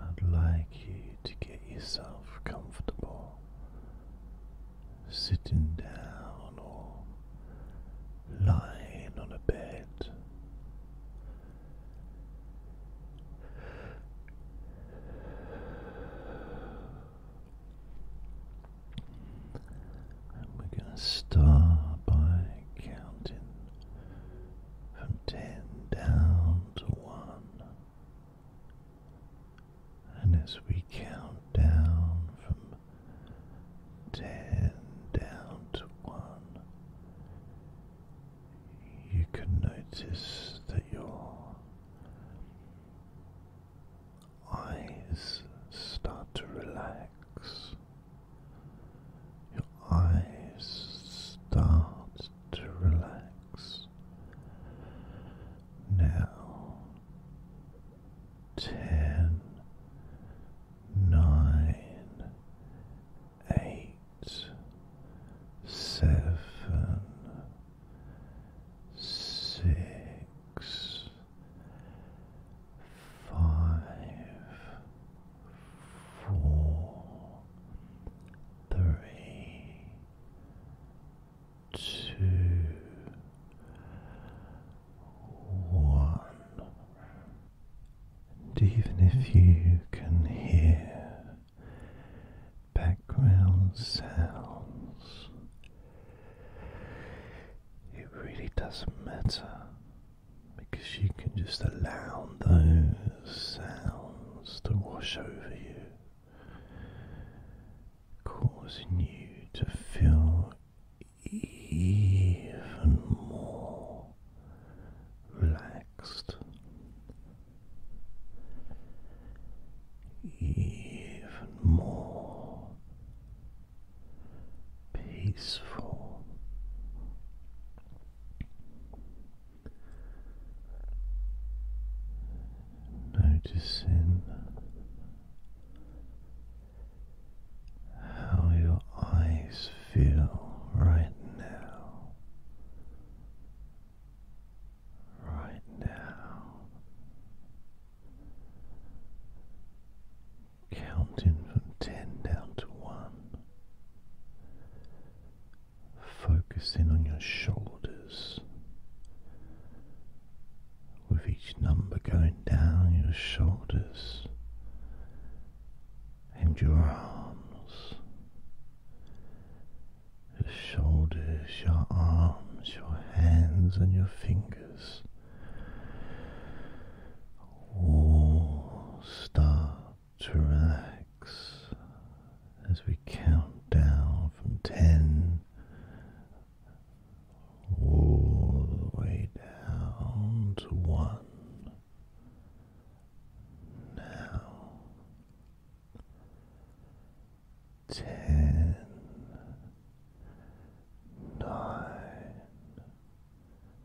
I'd like you to get yourself comfortable sitting down or lying on a bed we're going to start by counting from 10 down to 1. And as we count down from 10 down to 1, you can notice that your eyes start to relax. Your eyes start to relax. Now, ten, nine, eight, seven, six, five, four, three, two, one. And even if you can hear background sounds, it really doesn't matter because you can just allow those sounds to wash over you, causing you to feel even more relaxed, even more peaceful. Noticing how your eyes feel right now, right now, counting from 10 down to 1, focusing on your shoulders. With each number going down your shoulders and your arms, your shoulders, your arms, your hands, and your fingers all start to relax as we count down from 10 all the way down to 1. Now, 10,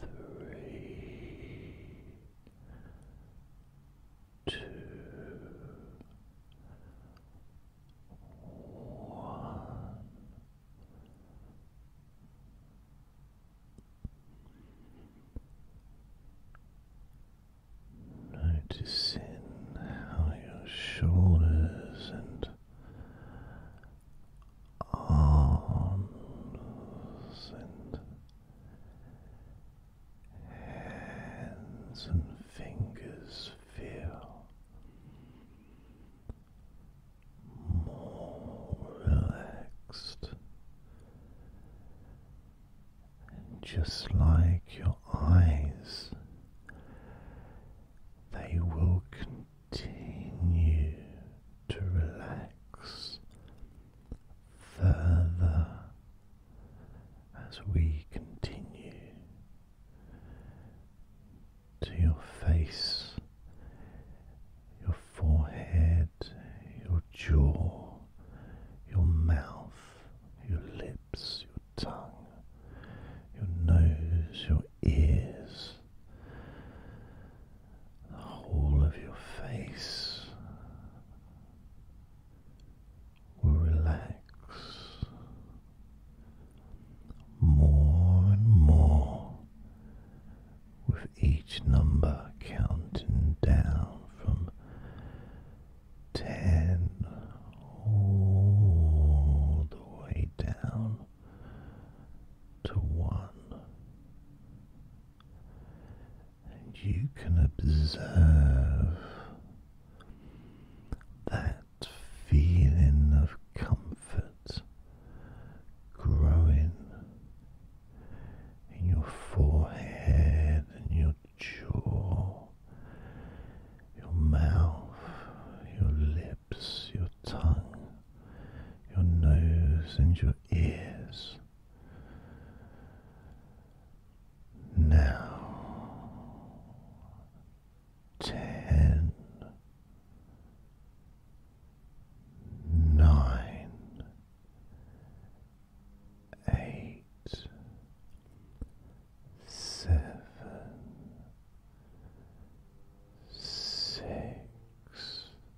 three, two, one. Noticing how your shoulders and arms and hands and fingers feel more relaxed, and just like your eyes, they will continue to relax further as we continue to your face, your forehead, your jaw, your mouth, your lips, your tongue, your nose, your ears the whole of your face will relax more and more with each number counting down from ten all the way down to one and you can observe that feeling of comfort growing in your forehead and your jaw, your mouth, your lips, your tongue, your nose, and your ears. Now ten, nine, eight, seven, six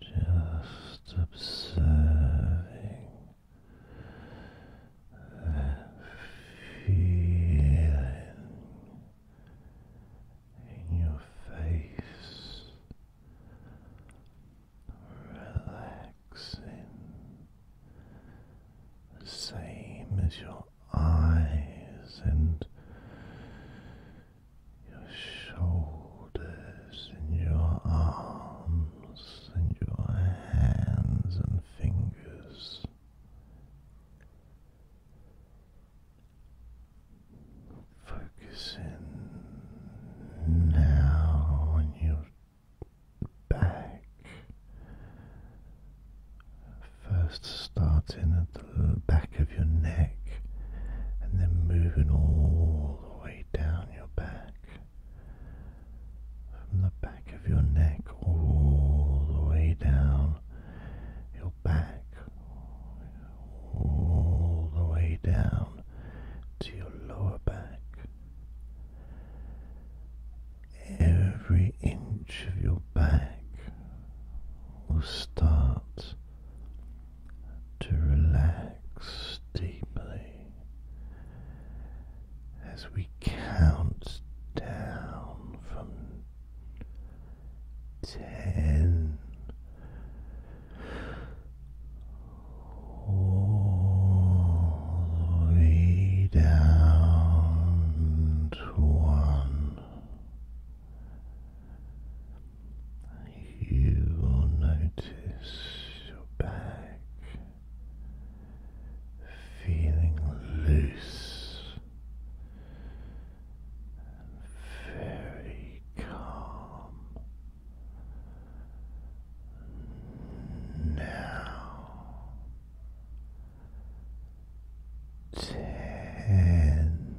Just observing feeling in your face, relaxing same as your eyes and your shoulders and your arms and your hands and fingers. Focusing now on your back, first starting at the back of your neck and then moving all all the way down your back, from the back of your neck all the way down your back, all the way down to your lower back. Every inch of your back will start to relax deeply as we count down from ten. All the way down to one, you will notice your back feeling loose and very calm. Now, ten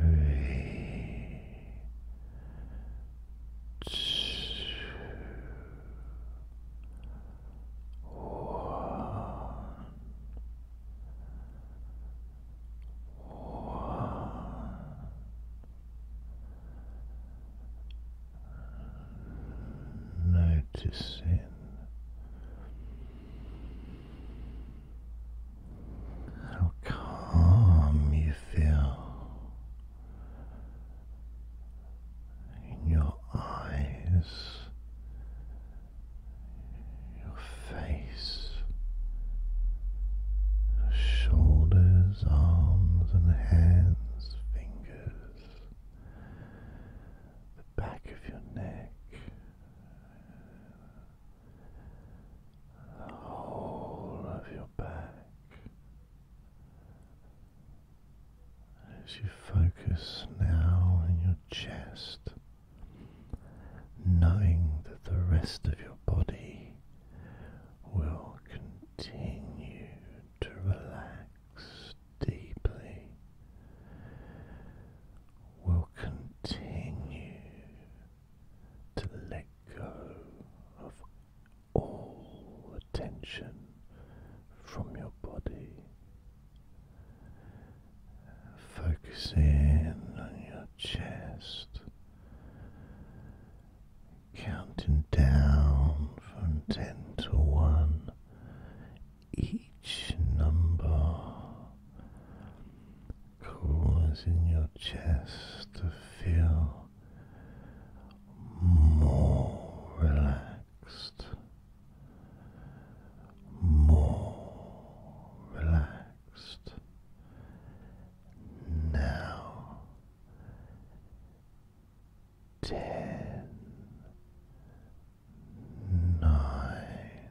three, two, one, one. Noticing how calm you feel in your eyes, your face, shoulders, arms, and hands, fingers, the back of your neck the whole of your back as you focus now on your chest, knowing that the rest of your body will continue to relax deeply. Will continue to let go of all attention from your body, focusing on your chest, counting down from ten to one. Each number causing your chest to feel more relaxed, more relaxed. Now ten, nine,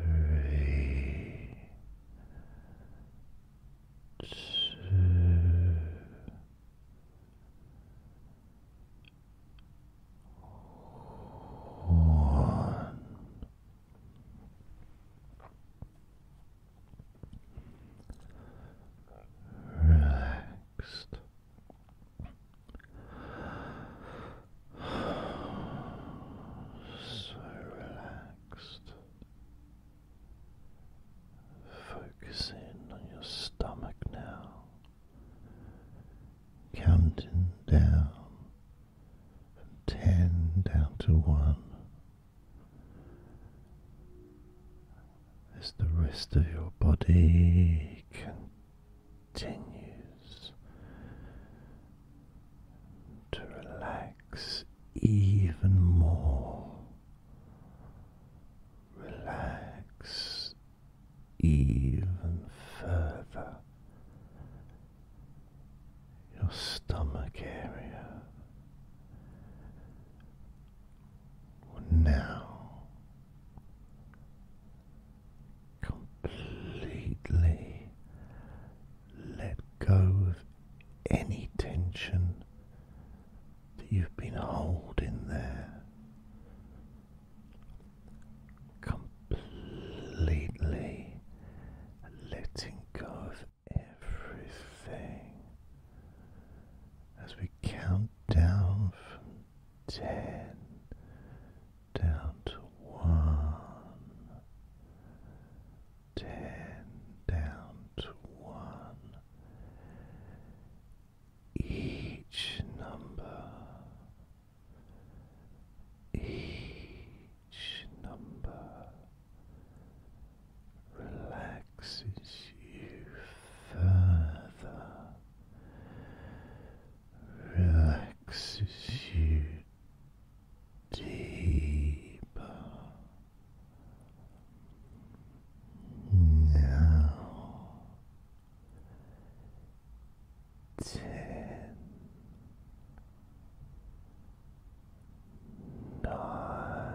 three, two, one. Relaxed so relaxed. Focus in on your stomach now, counting down from ten down to one. As the rest of your body continues to relax even more. Relax even further your stomach area now completely let go of any tension that you've been holding there. Completely letting go of everything as we count down from ten down to one, ten down to one. Each number, each number relaxes you further relaxes you deeper. Now ten nine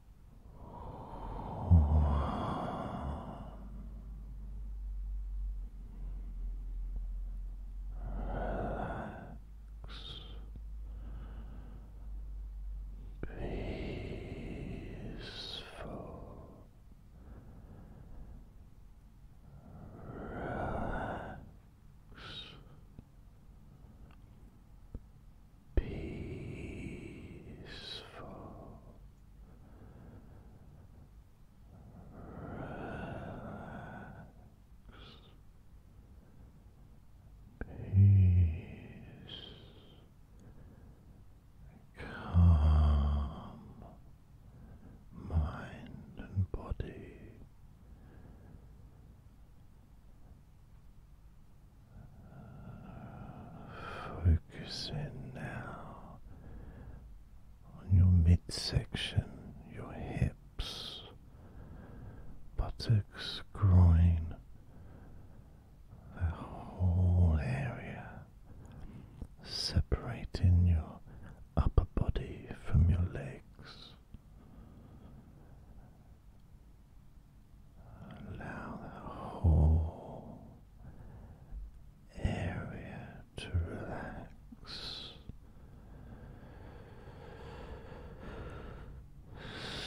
Peaceful, relax peaceful, relax, peace, calm, mind and body. Focus in now on your midsection, your hips, buttocks, groin, that whole area, separating your upper body from your legs. Allow the whole area to relax.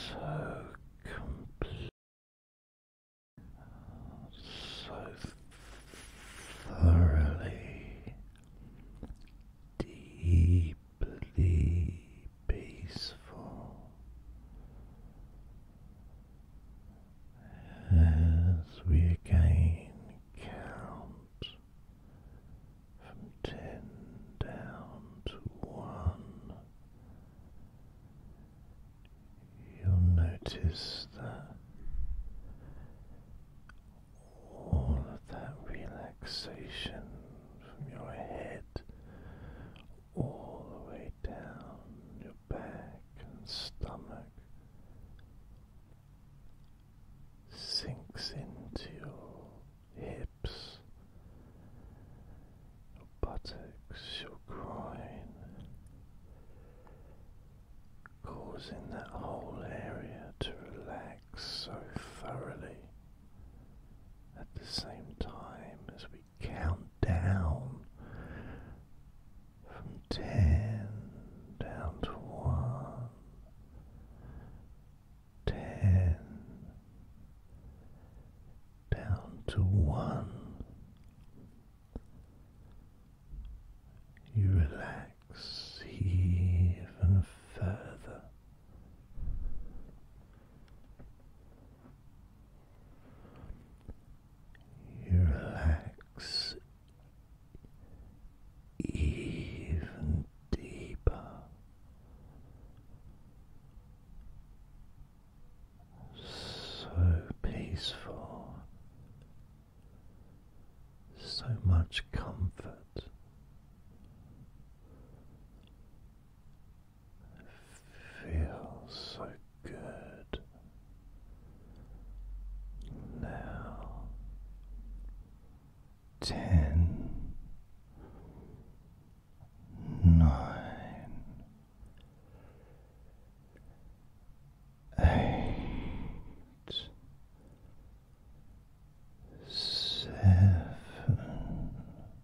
So complete, so thoroughly, deeply deeply peaceful as we again count from ten down to one. You'll notice that all of that relaxation from your head all the way down your back and stomach sinks into your hips, your buttocks, your groin, causing that whole area to relax so thoroughly at the same time as we count down from ten down to one, ten down to one. You relax even further relax even deeper. So peaceful, so much comfort, feels so good now. Ten, nine, eight, seven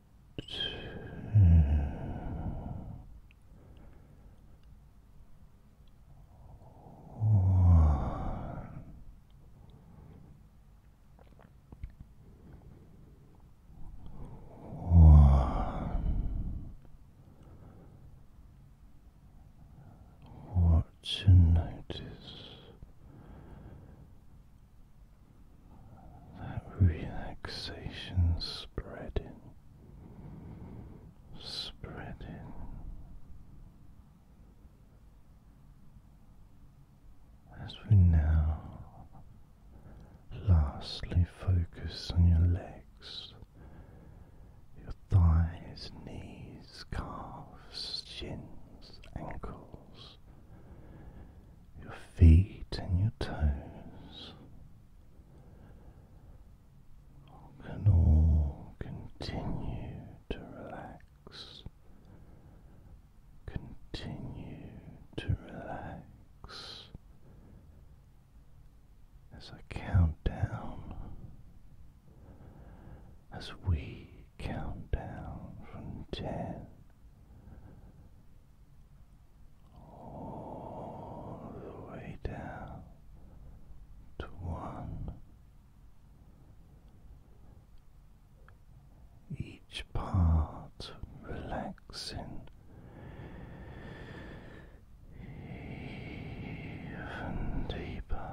what you notice that relaxation spreading, spreading. As we now lastly focus on your legs, your thighs, knees, calves, shins, ankles, your feet and your toes can all continue to relax, continue to relax as I count down, as we count down from ten all the way down to one. Each part relaxing even deeper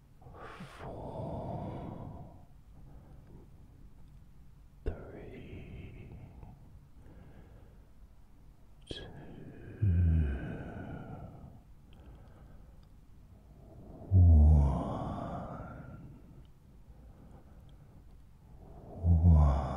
four, three, two, one, one.